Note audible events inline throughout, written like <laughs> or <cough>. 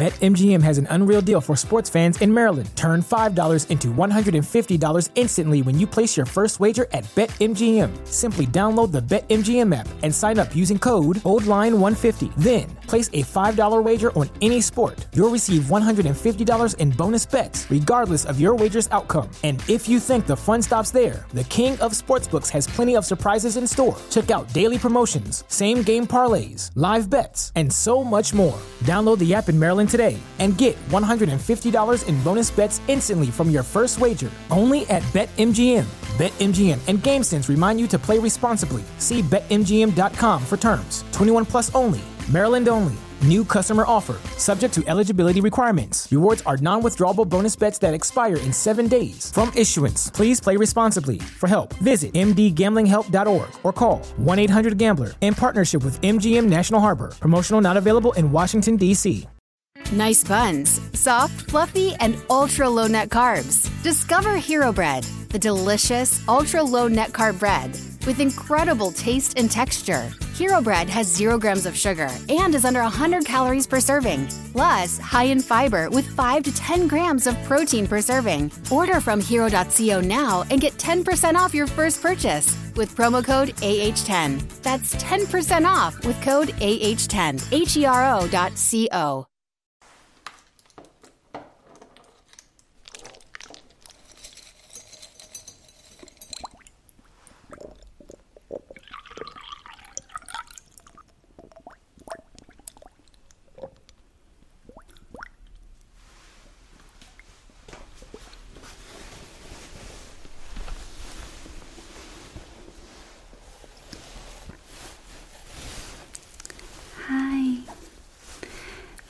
BetMGM has an unreal deal for sports fans in Maryland. Turn $5 into $150 instantly when you place your first wager at BetMGM. Simply download the BetMGM app and sign up using code OLDLINE150. Then, place a $5 wager on any sport. You'll receive $150 in bonus bets, regardless of your wager's outcome. And if you think the fun stops there, the King of Sportsbooks has plenty of surprises in store. Check out daily promotions, same game parlays, live bets, and so much more. Download the app in Maryland today and get $150 in bonus bets instantly from your first wager only at BetMGM. BetMGM and GameSense remind you to play responsibly. See BetMGM.com for terms. 21 plus only. Maryland only. New customer offer, subject to eligibility requirements. Rewards are non withdrawable bonus bets that expire in seven days. From issuance, please play responsibly for help. Visit mdgamblinghelp.org or call 1 800 Gambler in partnership with MGM National Harbor. Promotional not available in Washington, D.C. Nice buns, soft, fluffy, and ultra low net carbs. Discover Hero Bread, the delicious ultra low net carb bread with incredible taste and texture. Hero Bread has zero grams of sugar and is under 100 calories per serving, plus high in fiber with 5 to 10 grams of protein per serving. Order from hero.co now and get 10% off your first purchase with promo code AH10. That's 10% off with code AH10. H E R O dot C O. Hi,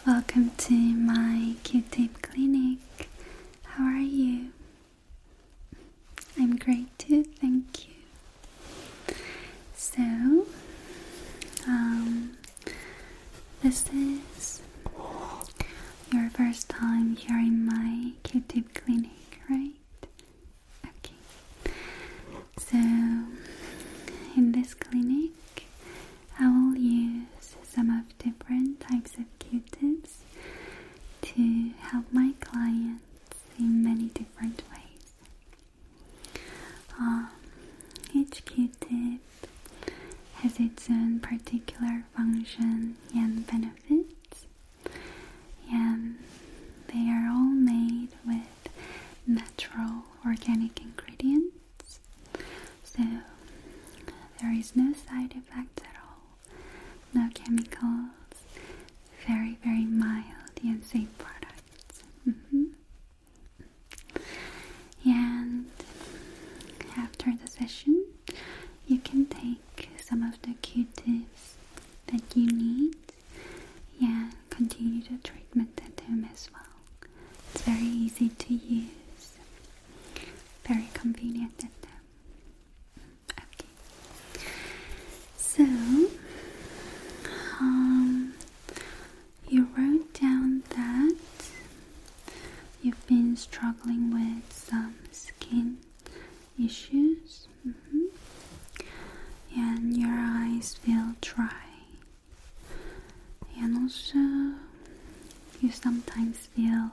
welcome to my Q tip clinic. How are you? I'm great too, thank you. So, um, this is your first time here in my Q tip clinic, right? Okay. So, in this clinic, I will use some of different types of Q tips to help my clients in many different ways. Um, each Q-tip has its own particular function and benefits, and they are all made with natural organic ingredients, so there is no side effects at all, no chemicals, very, very mild and safe product. Mm And after the session, you can take some of the q tips that you need Yeah, continue the treatment at home as well. It's very easy to use, very convenient at home. Okay, so, um, you wrote down that you've been struggling with some skin issues, mm-hmm, and your eyes feel dry, and also you sometimes feel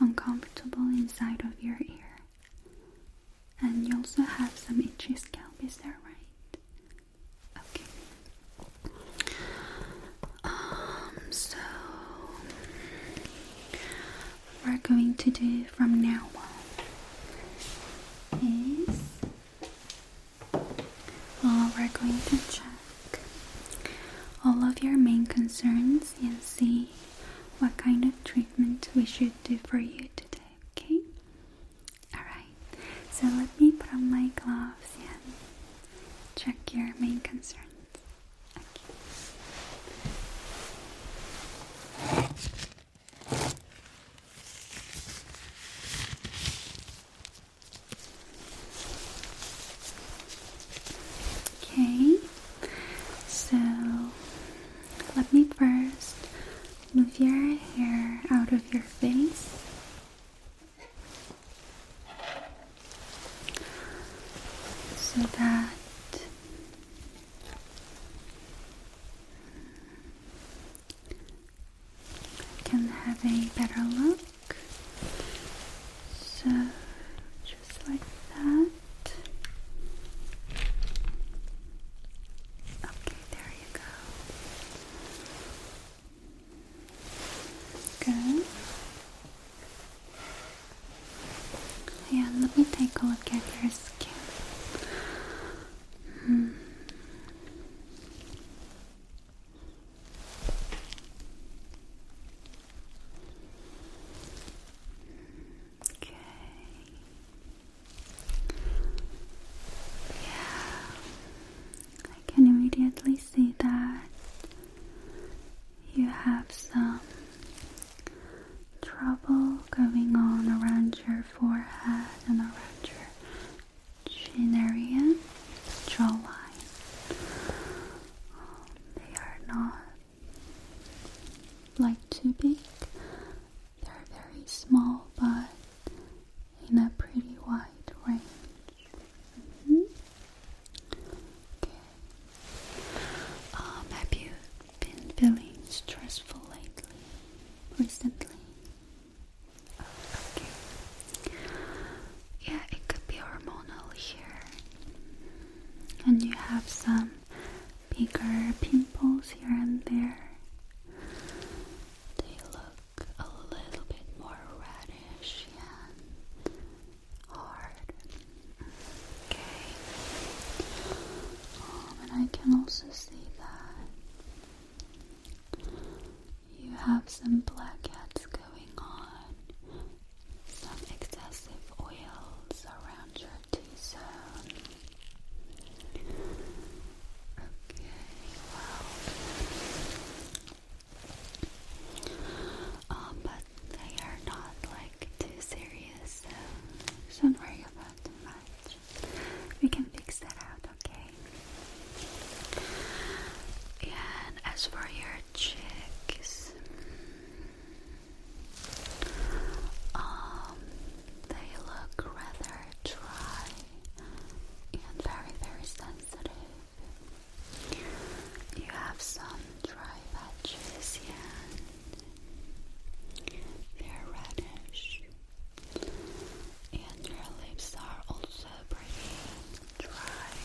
uncomfortable inside of your ear. And you also have some itchy scalp, is that right? Okay. Um, so we're going to do from now on is uh, we're going to check all of your main concerns and see what kind of treatment we should do for you today, okay? Alright, so let me put on my gloves and check your main concerns. Okay. Okay, so let me first Move your hair out of your face. So that I can have a better look. So just like that. Okay, there Good. Yeah, let me take a look at your skin. Hmm. Okay. Yeah, I can immediately see that you have some trouble going on around your forehead and around your chin area, jawline. They are not like too big, they're very small, but in a pretty wide range. Mm-hmm. Um, have you been feeling stressful lately? Recently? Yeah, it could be hormonal here. And you have some bigger pimples here and there. They look a little bit more reddish and hard. Okay. Um, and I can also see that you have some blackheads going on, some excessive oils around your T zone. Okay, well, um, but they are not like too serious, so don't worry about too much. We can fix that out, okay? And as for your cheeks, um, they look rather dry and very, very sensitive. You have some dry patches and they're reddish. And your lips are also pretty dry.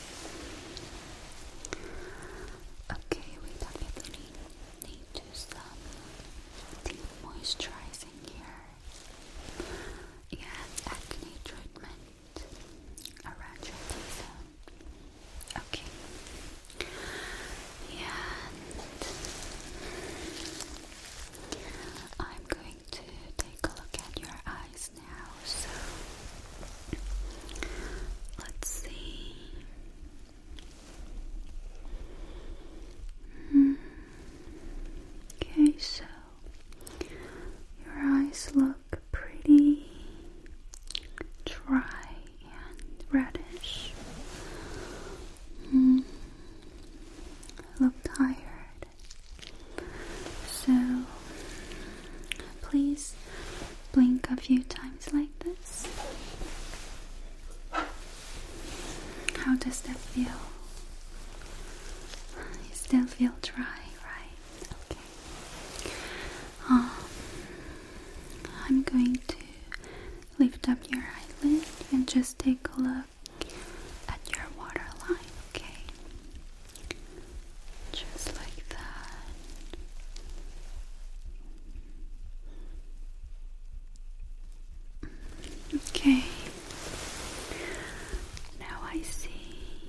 Okay, we definitely need to some deep moisturizer using acne treatment around your T-zone. Okay. And I'm going to take a look at your eyes now. So let's see. Mm. Okay, so your eyes look pretty dry and reddish. Mm. Look tired. So please blink a few times like this. How does that feel? You still feel dry, right? Okay. Um, I'm going to lift up your eyelid and just take a look at your waterline, okay? Just like that. Okay. Now I see.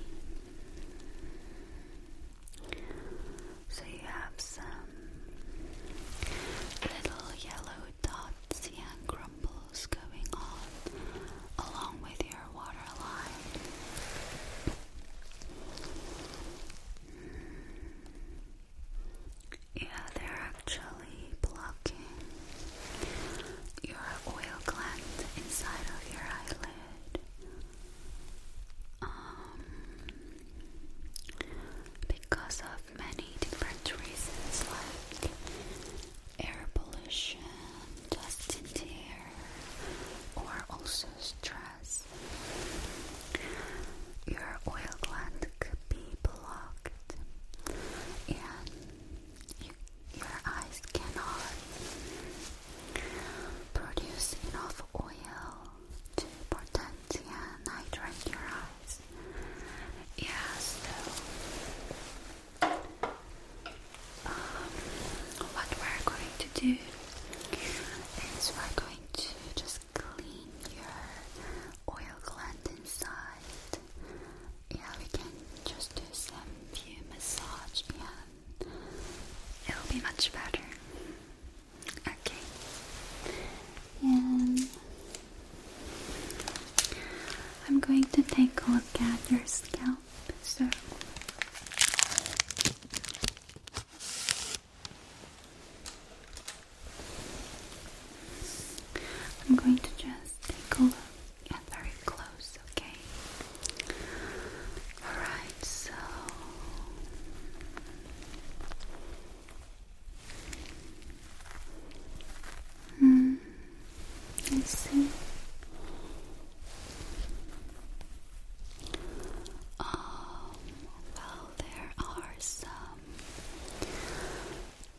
So you have some little yellow dots and crumbles going on along with your waterline. Yeah, they're actually blocking your oil gland inside of your eyelid. Um, because of many different reasons like air pollution, dust in the air, or also stress. Your oil gland could be blocked and your eyes cannot produce enough oil to protect and hydrate your eyes. Yeah, so um, what we're going to do is we're going to just clean your oil gland inside. Yeah, we can just do some few massage and it will be much better. Okay. And I'm going to take a look at your scalp. So I'm going to just take a look at very close, okay? Alright, so mm, let's see. Oh, well, there are some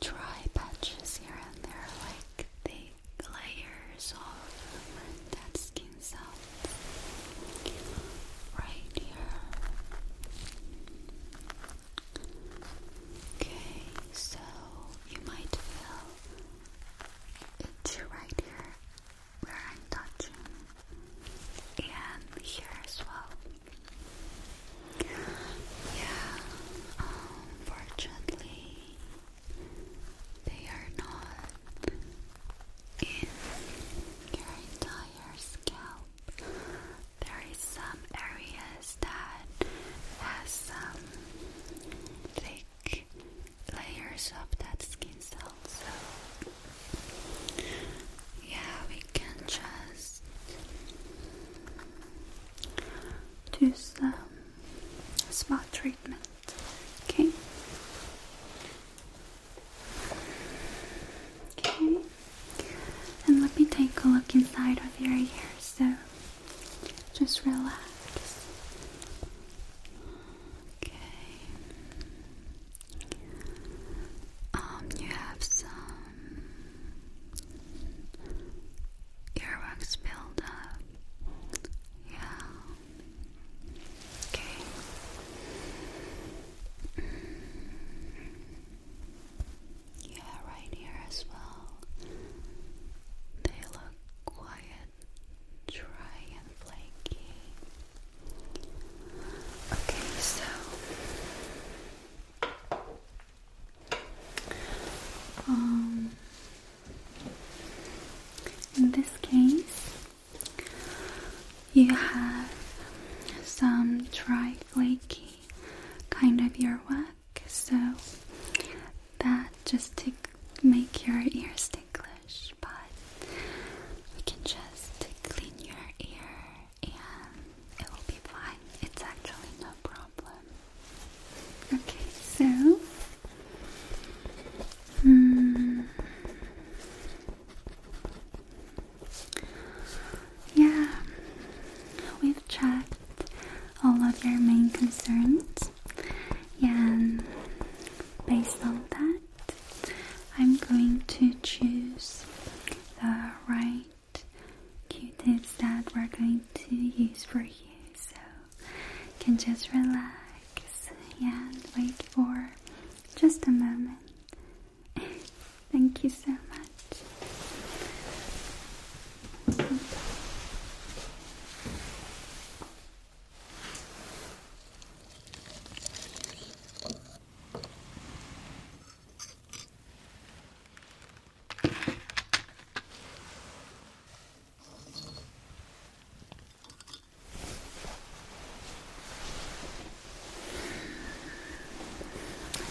dry patches here and there, like the layers of dead skin cells right here. Okay, so you might feel itchy right here where I'm touching, and here as well. Yeah, unfortunately, they are not in your entire scalp. There is some areas that has some thick layers of that skin cell. So yeah, can just do some spa treatment. Okay. Okay. And let me take a look inside of your ears. So just relax. Okay. Um, you have some um, earwax build Yeah. Okay. Yeah, right here as well. They look quiet, dry, and flaky. Okay, so um, in this case, you have some dry, flaky kind of earwax, so that just to make your ears ticklish, but we can just clean your ear and it will be fine. It's actually no problem. Okay, so. Hmm, yeah, we've checked all of your main concerns, and based on that, I'm going to choose the right Q-tips that we're going to use for you. So you can just relax and wait for just a moment. <laughs> Thank you so much.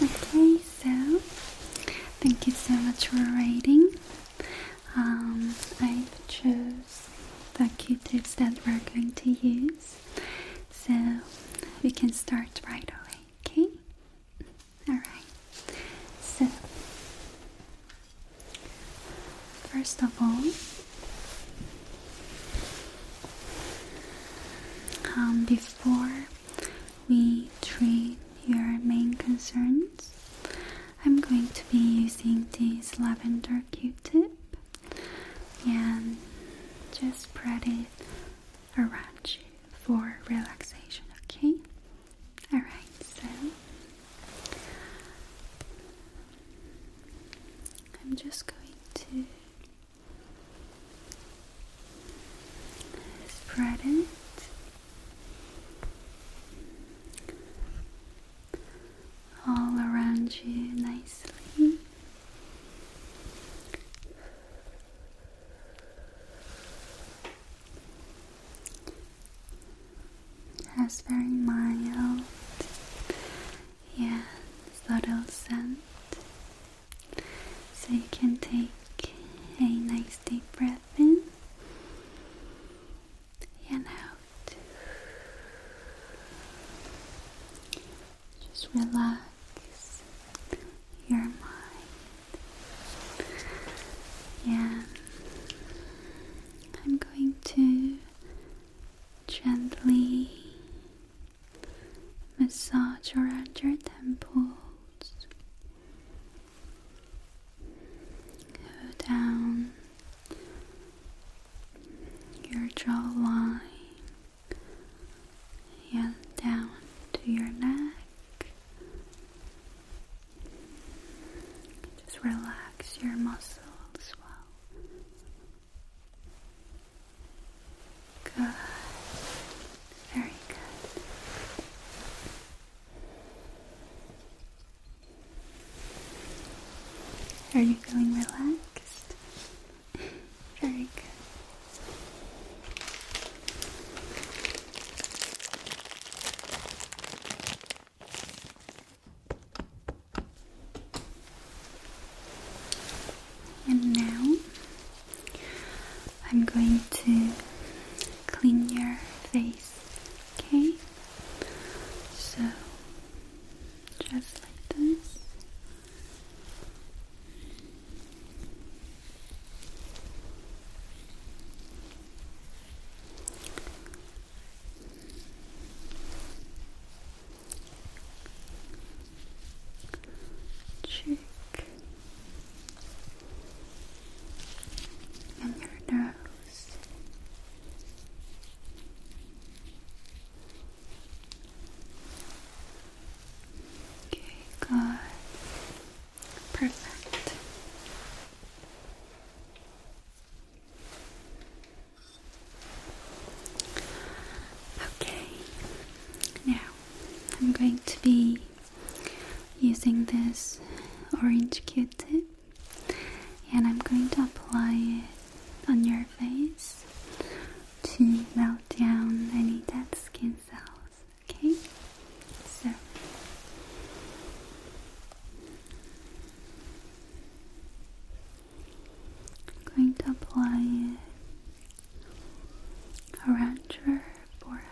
Okay, so thank you so much for writing. Um, I chose the Q-tips that we're going to use, so we can start right away. Okay? Alright. So, first of all, um, before we treat your main concerns, I'm going to be using this lavender q tip and just spread it around you for relaxation, okay? Alright, so I'm just going to spread it. All around you nicely, has very mild yet subtle scent. So you can take a nice deep breath in and out. Just relax your mind. Yeah, I'm going to gently massage around your temples. Go down your jawline and down to your neck. Just relax your muscles well. Good. Very good. Are you feeling relaxed? Very good. And now I'm going to clean your face, okay? So just like this cheek and your nose. Okay, good. Perfect. Okay, now I'm going to be using this orange q tip and I'm going to apply it on your face to melt down any dead skin cells. Okay? So I'm going to apply it around your forehead.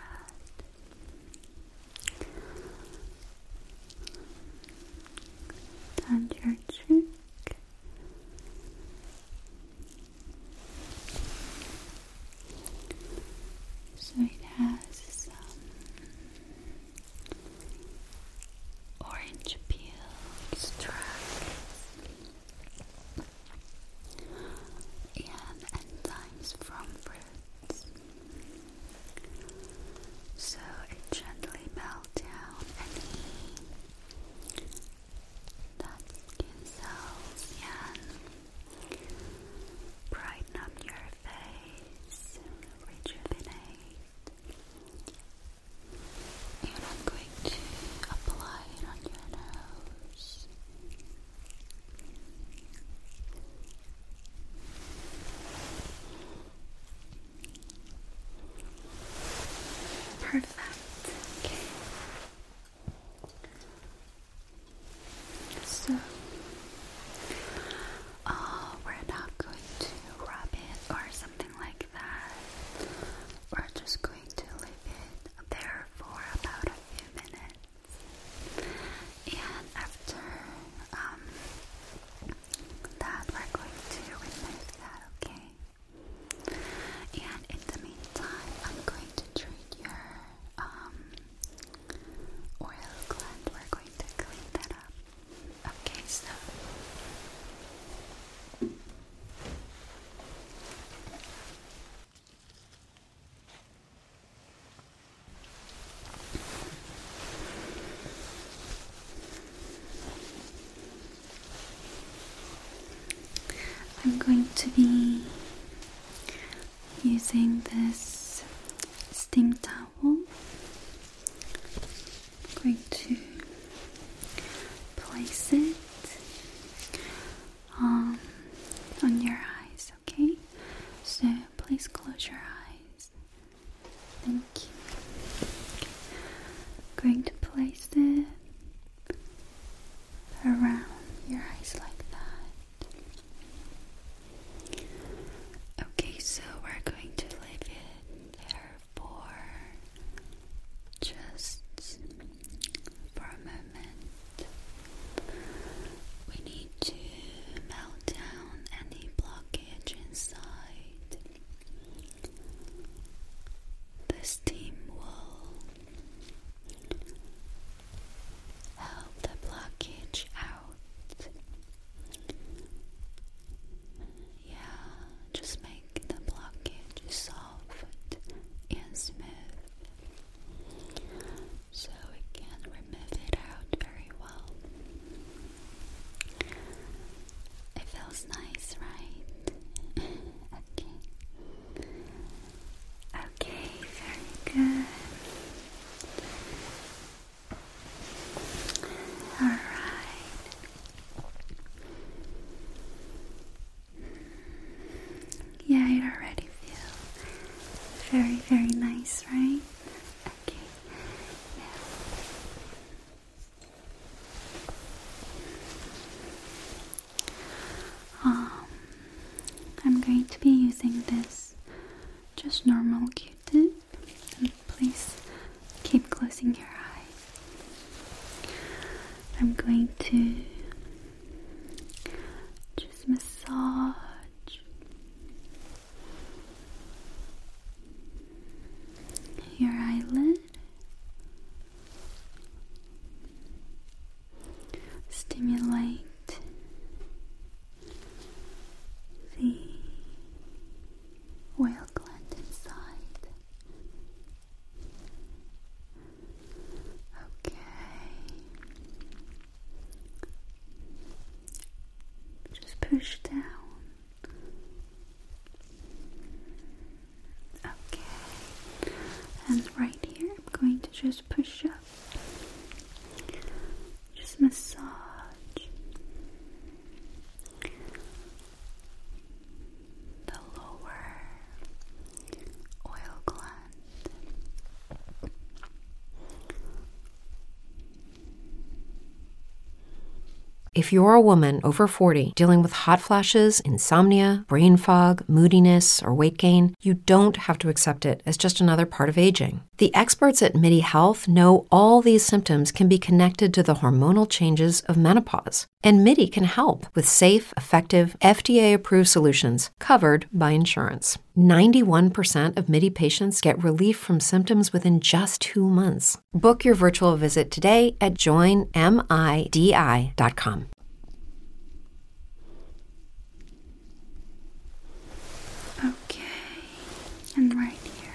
And your cheek so it has some orange peel extracts and enzymes from fruits. So it gently melts down any that skin cells can brighten up your face, rejuvenate. And I'm going to apply it on your nose. Perfect. Okay. So uh, we're not going to rub it or something like that. We're just going to leave it there for about a few minutes. And after um, that, we're going to remove that, okay? And in the meantime, I'm going to treat your um, oil gland. We're going to clean that up. Okay, so. I'm going to be using this steam towel. I'm going to place it um, on your eyes, okay? So please close your eyes. Thank you. Okay. Going to place it around your eyes like that. Okay, so we're going to leave it there for just for a moment. We need to melt down any blockage inside. The steam will Help the blockage out. Yeah, just make the blockage soft and smooth so we can remove it out very well. It feels nice, right? <laughs> Okay. Okay, very good. All right. Mm-hmm. Yeah, it already feel very, very nice, right? Okay. Now, um, I'm going to be using this just normal q tip. And please keep closing your eyes. I'm going to just massage. Your eyelid stimulate the oil gland inside. Okay. Just push down. Okay, and right here, I'm going to just push up, just massage. The lower oil gland. If you're a woman over 40 dealing with hot flashes, insomnia, brain fog, moodiness, or weight gain, you don't have to accept it as just another part of aging. The experts at MIDI Health know all these symptoms can be connected to the hormonal changes of menopause, and MIDI can help with safe, effective, FDA approved solutions covered by insurance. 91% of MIDI patients get relief from symptoms within just two months. Book your virtual visit today at joinmidi.com. Okay, and right here.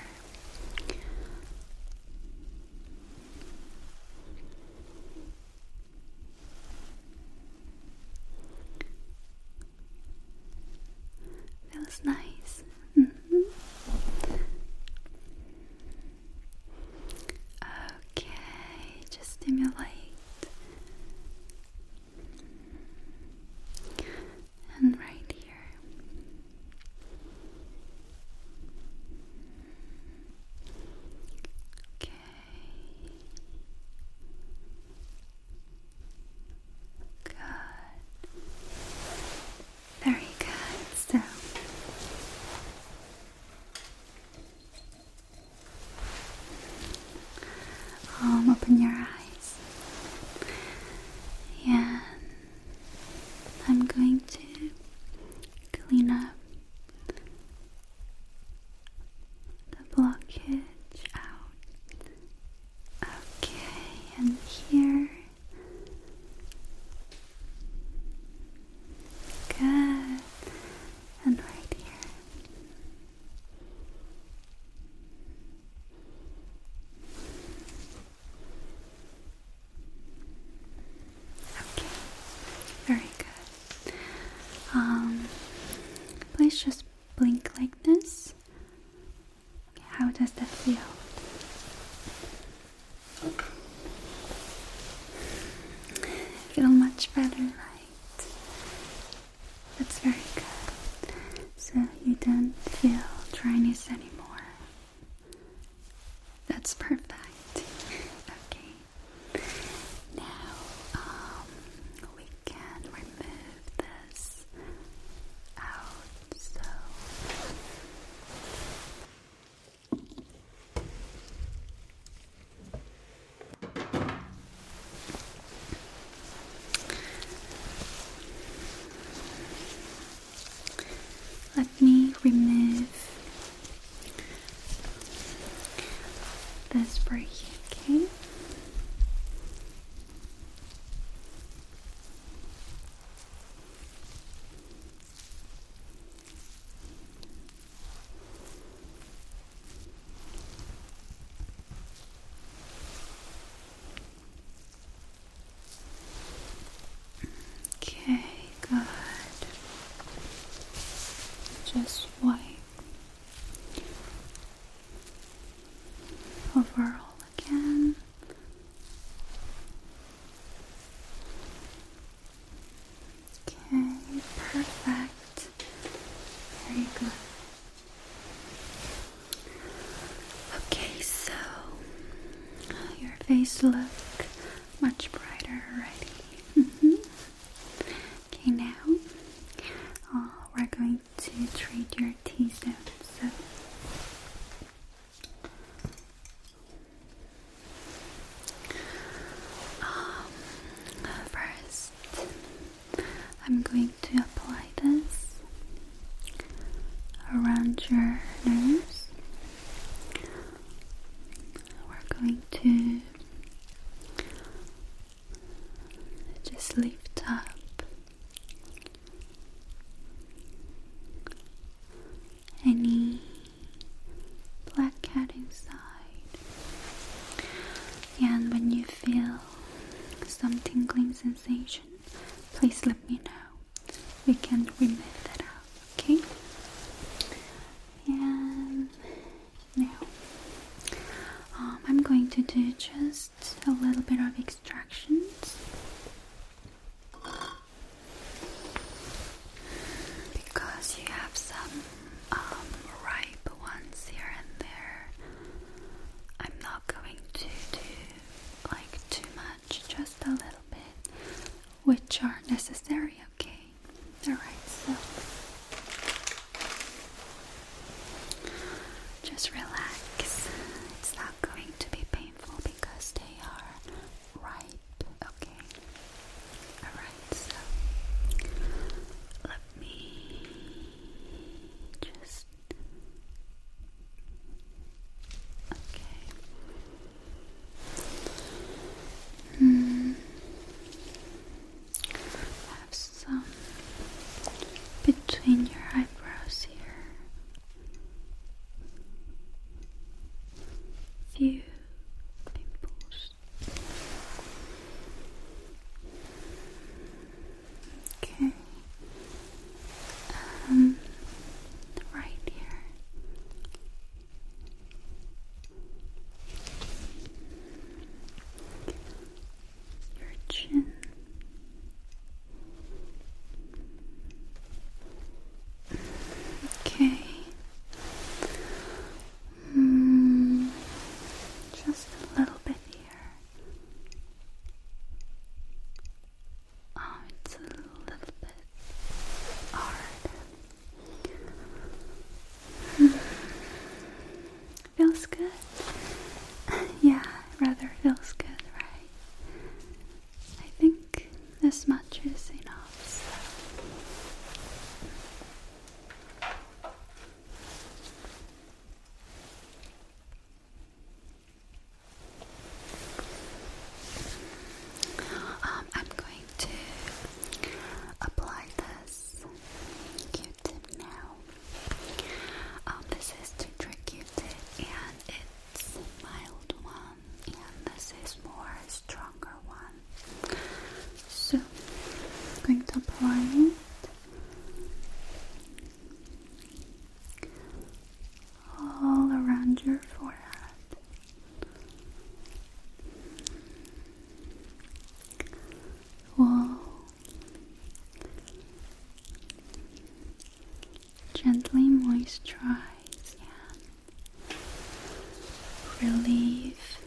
Feels nice. Mm-hmm. Okay, just stimulate. And right here. Okay. Good. Very good. So open your eyes. and I'm going to clean up the blockage out. Okay, and here. Good. And right here. Okay. Very good. Um please just blink like this. How does that feel? Feel much better, right? That's very good. So you don't feel dryness anymore. That's perfect. <laughs> okay. Now um, we can remove this out. So let me remove this break, okay? Okay. Okay, good. Just wipe overall again. Okay, perfect. Very good. Okay, so your face look much brighter already. Mm-hmm. Okay, now uh, we're going to treat your T-zone. So um, uh, first, I'm going to apply this around your nose. We're going to just lift up any black cat inside. And when you feel some tingling sensation, please let me know. We can remove that out, okay? And now um, I'm going to do just a little bit of extractions because you have some um, ripe ones here and there. I'm not going to do like too much, just a little bit, which are necessary, okay? Alright, so just relax. It's not going to be painful because they are right? Okay. Alright, so let me just. Okay. Hmm. have some between your eyebrows here. Few pimples. Okay. Um, right here. Your chin. Okay. Mm, just a little bit here. Oh, it's a little bit hard. Hmm, feels good. <laughs> yeah, rather feels good, right? I think this much is enough. Um, I'm going to apply this Q-tip now. Um, this is to trick Q-tip and it's mild one. Um, and this is more stronger one. So I'm going to apply it all around your forehead. Whoa. Gently moisturize and relief.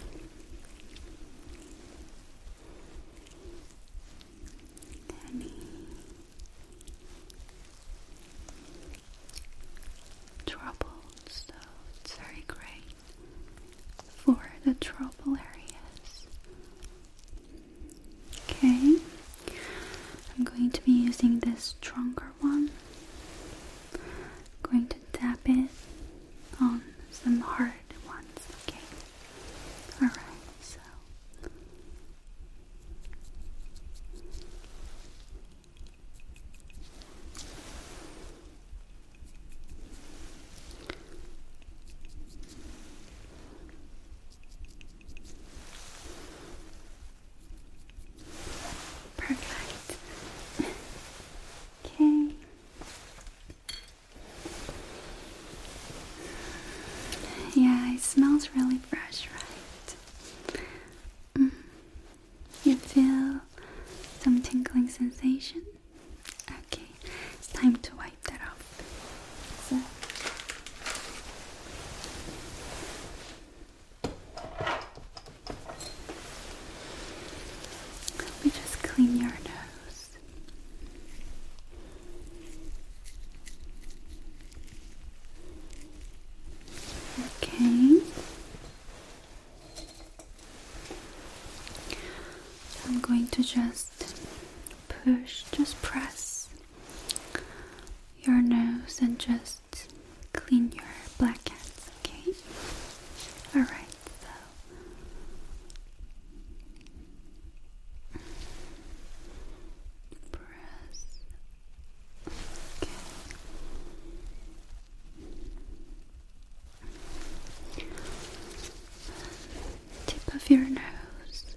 Any troubles, so it's very great for the trouble areas. Okay, I'm going to be using this stronger one going to tap it on some hard ones, okay? Alright, so Perfect. okay. Yeah, it smells really fresh, right? Mm. You feel some tingling sensation? Okay, it's time to wipe that off. Let me just clean your nose. Okay. I'm going to just push, just press your nose and just clean your blackheads, okay? Alright, so press okay. Tip of your nose.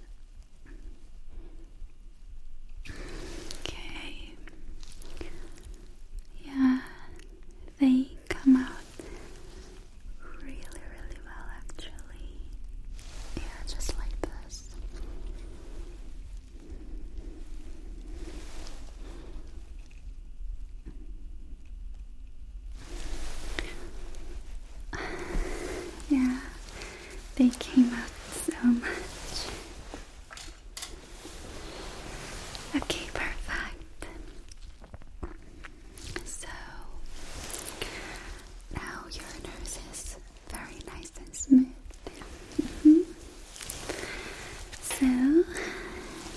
Okay. Yeah, they come out really, really well actually. Yeah, just like this. <sighs> Yeah, they came out so much. Okay, perfect. So now your nose is very nice and smooth. Mm-hmm. So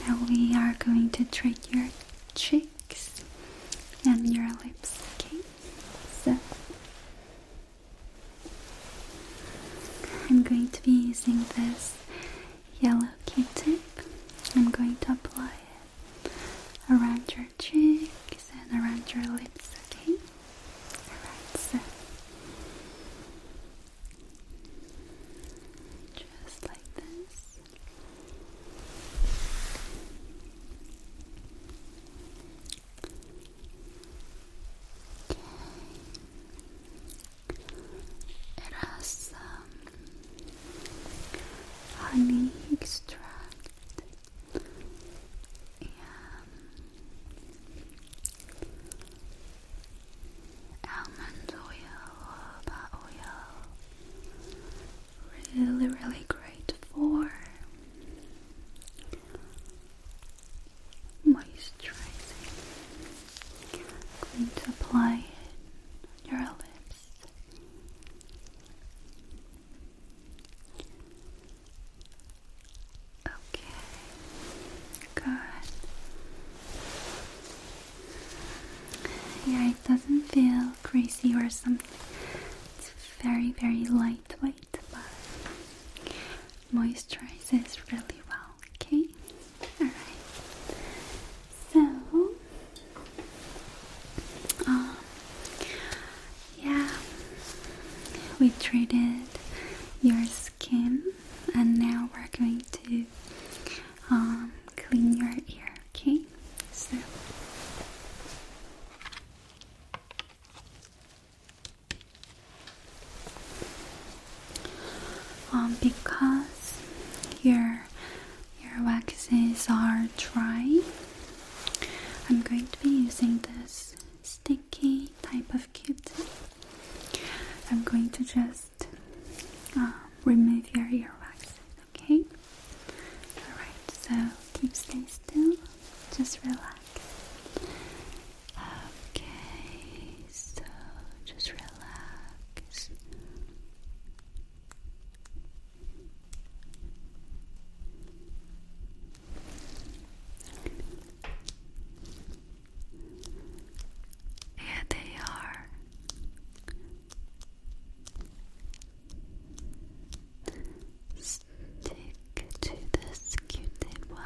now we are going to treat your cheeks and your lips. Okay, so I'm going to be using this yellow q-tip. I'm going to apply it around your cheeks and around your lips, okay? Alright, so just like this. It has um, honey extract and almond oil, but oil really, really great for moisturizing. i going to apply it on your lips. Okay, good. Yeah, it doesn't feel greasy or something. It's very, very lightweight but moisturizes really well. Okay, all right. So, um, yeah, we treated your skin, and now we're going to um clean your ear. Okay, so. Um, because your your waxes are dry, I'm going to be using this sticky type of kit. I'm going to just uh, remove your earwax. Okay. All right. So keep still. Just relax. Okay, so just relax. Yeah, they are. Stick to this q well.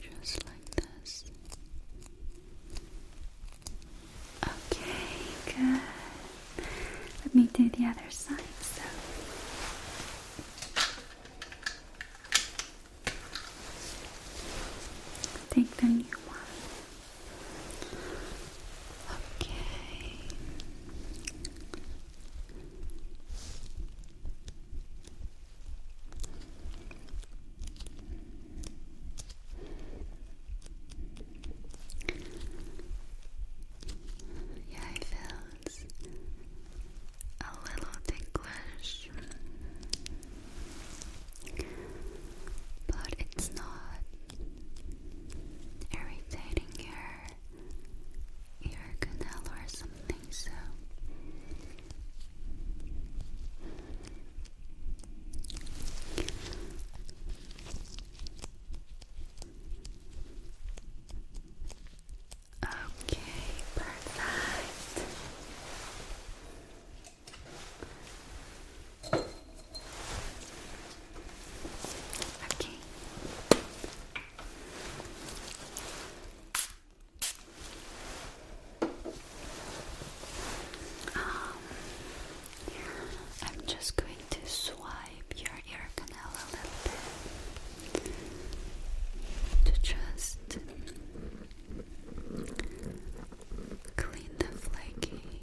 Just like this. Okay, good. Let me do the other side. So. Take the new one. Okay. Yeah, I feel nose a little ticklish, but it's not irritating your ear canal or something, so. Okay, perfect. Okay. Um, I'm just going to swipe your ear canal a little bit to just clean the flaky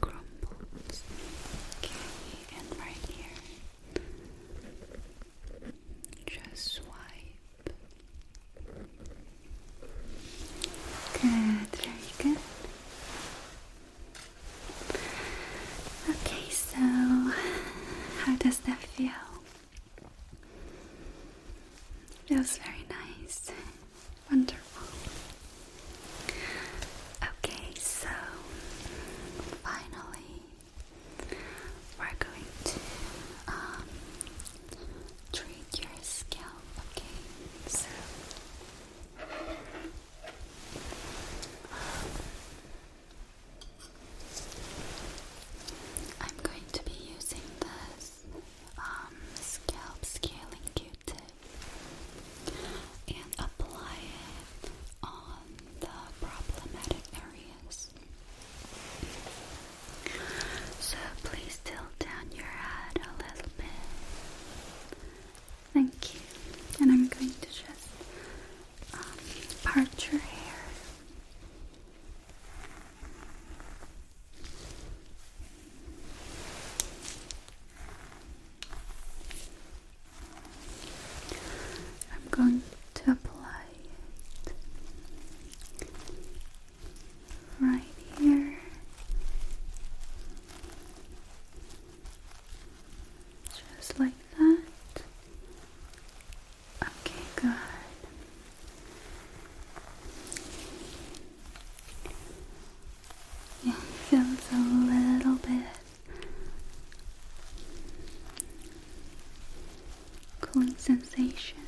crumbles. Okay, and right here, just swipe. Good, very good. Okay, so how does that feel? Feels very nice. Wonderful. Okay, so finally we're going to um, treat your scalp. Okay, so um, I'm going to be using this um, scalp scaling Q-tip and apply it on the problematic areas. So please tilt down your head a little bit. Thank you. And I'm going to just um, part your hair. I'm going to apply it right here. Just like that, Okay, good. Yeah, feels a little bit cooling sensation.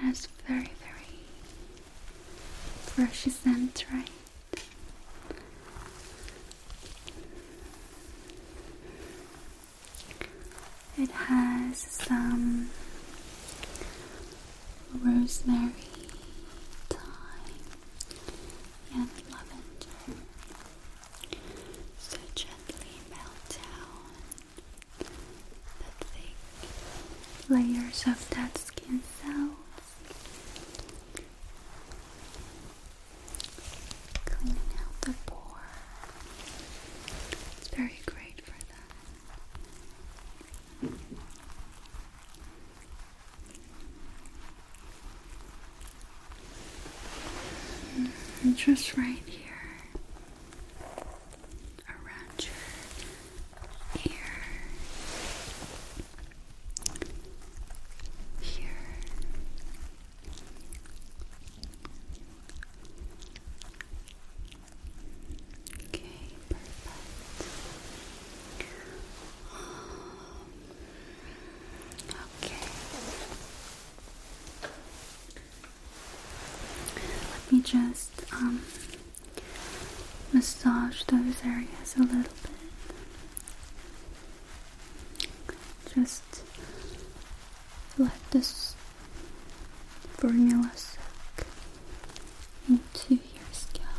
And that's very, very precious scent, right? It has some rosemary, thyme, and lavender. So gently melt down the thick layers of dead skin cells Cleaning out the pore. It's very great for that. Mm-hmm. just right here around your here, here. Okay, perfect. Um, okay. Let me just um massage those areas a little bit. Just let this formula soak into your scalp.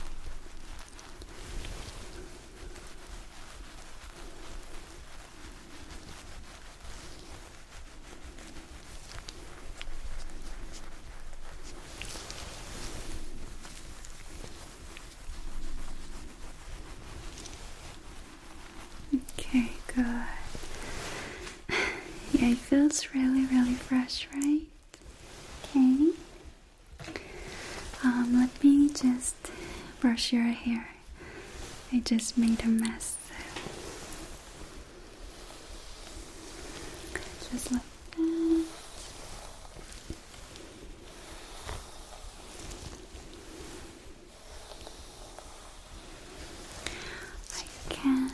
Okay, good. Yeah, it feels really, really fresh, right? Okay. Um, let me just brush your hair. I just made a mess. Just let I can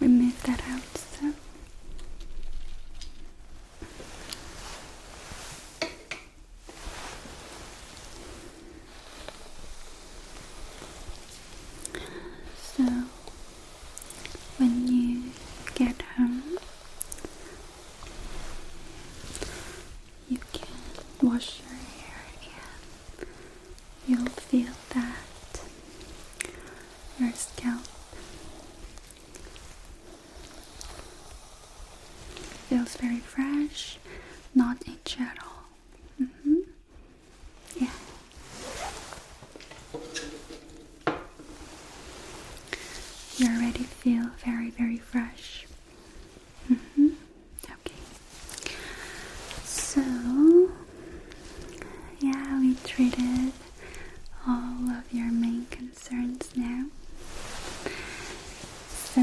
remove that out so so when you get home you can wash your hair again. you'll feel that your scalp feels very fresh, not itchy at all. Mm-hmm. Yeah. You already feel very, very fresh. Mm-hmm. Okay. So, yeah, we treated all of your main concerns now. So,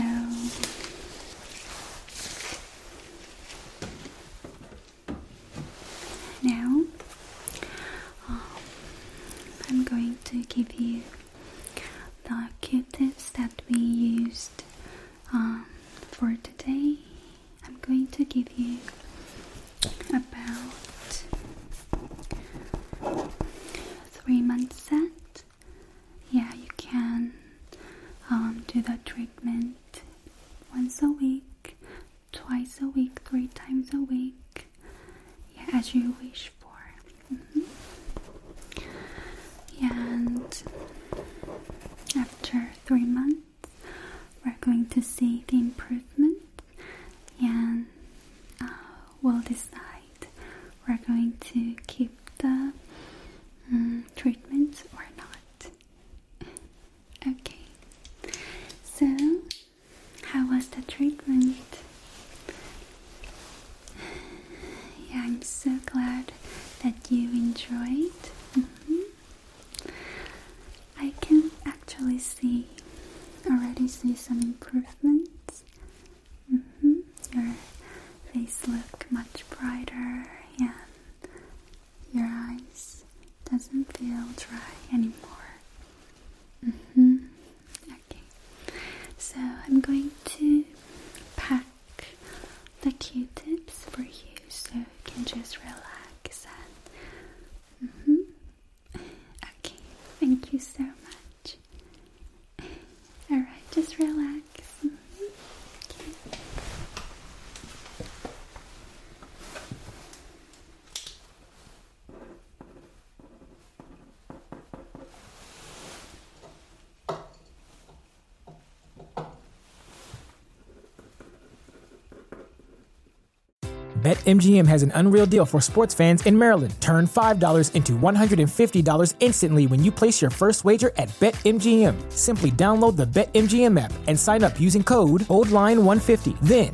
now, um, I'm going to give you the cute tips that we used um, for today. I'm going to give you about three months set. Yeah, you can um, do the treatment once a week twice a week, three times a week, yeah, as you wish for. Mm-hmm. And after three months, we're going to see the improvement, and uh, we'll decide we're going to keep the um, treatment or not. <laughs> Okay, so how was the treatment? Yeah, I'm so glad that you enjoyed. Mm-hmm. I can actually see, already see some improvements. Mm Your face look much brighter, and your eyes doesn't feel dry anymore. -hmm. Okay, so I'm going to pack the Q-tips for you so you can just relax and. -hmm. Okay, thank you so much. Alright, just relax. Mm-hmm. okay. BetMGM has an unreal deal for sports fans in Maryland. Turn $5 into $150 instantly when you place your first wager at BetMGM. Simply download the BetMGM app and sign up using code OldLine150. Then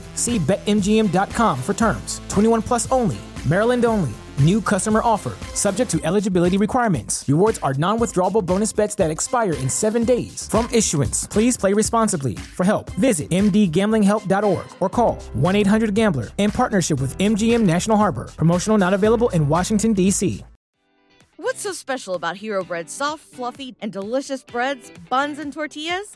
See BetMGM.com for terms. 21 plus only. Maryland only. New customer offer. Subject to eligibility requirements. Rewards are non withdrawable bonus bets that expire in seven days. From issuance, please play responsibly. For help, visit mdgamblinghelp.org or call 1 800 Gambler in partnership with MGM National Harbor. Promotional not available in Washington, D.C. What's so special about Hero Bread's soft, fluffy, and delicious breads, buns, and tortillas?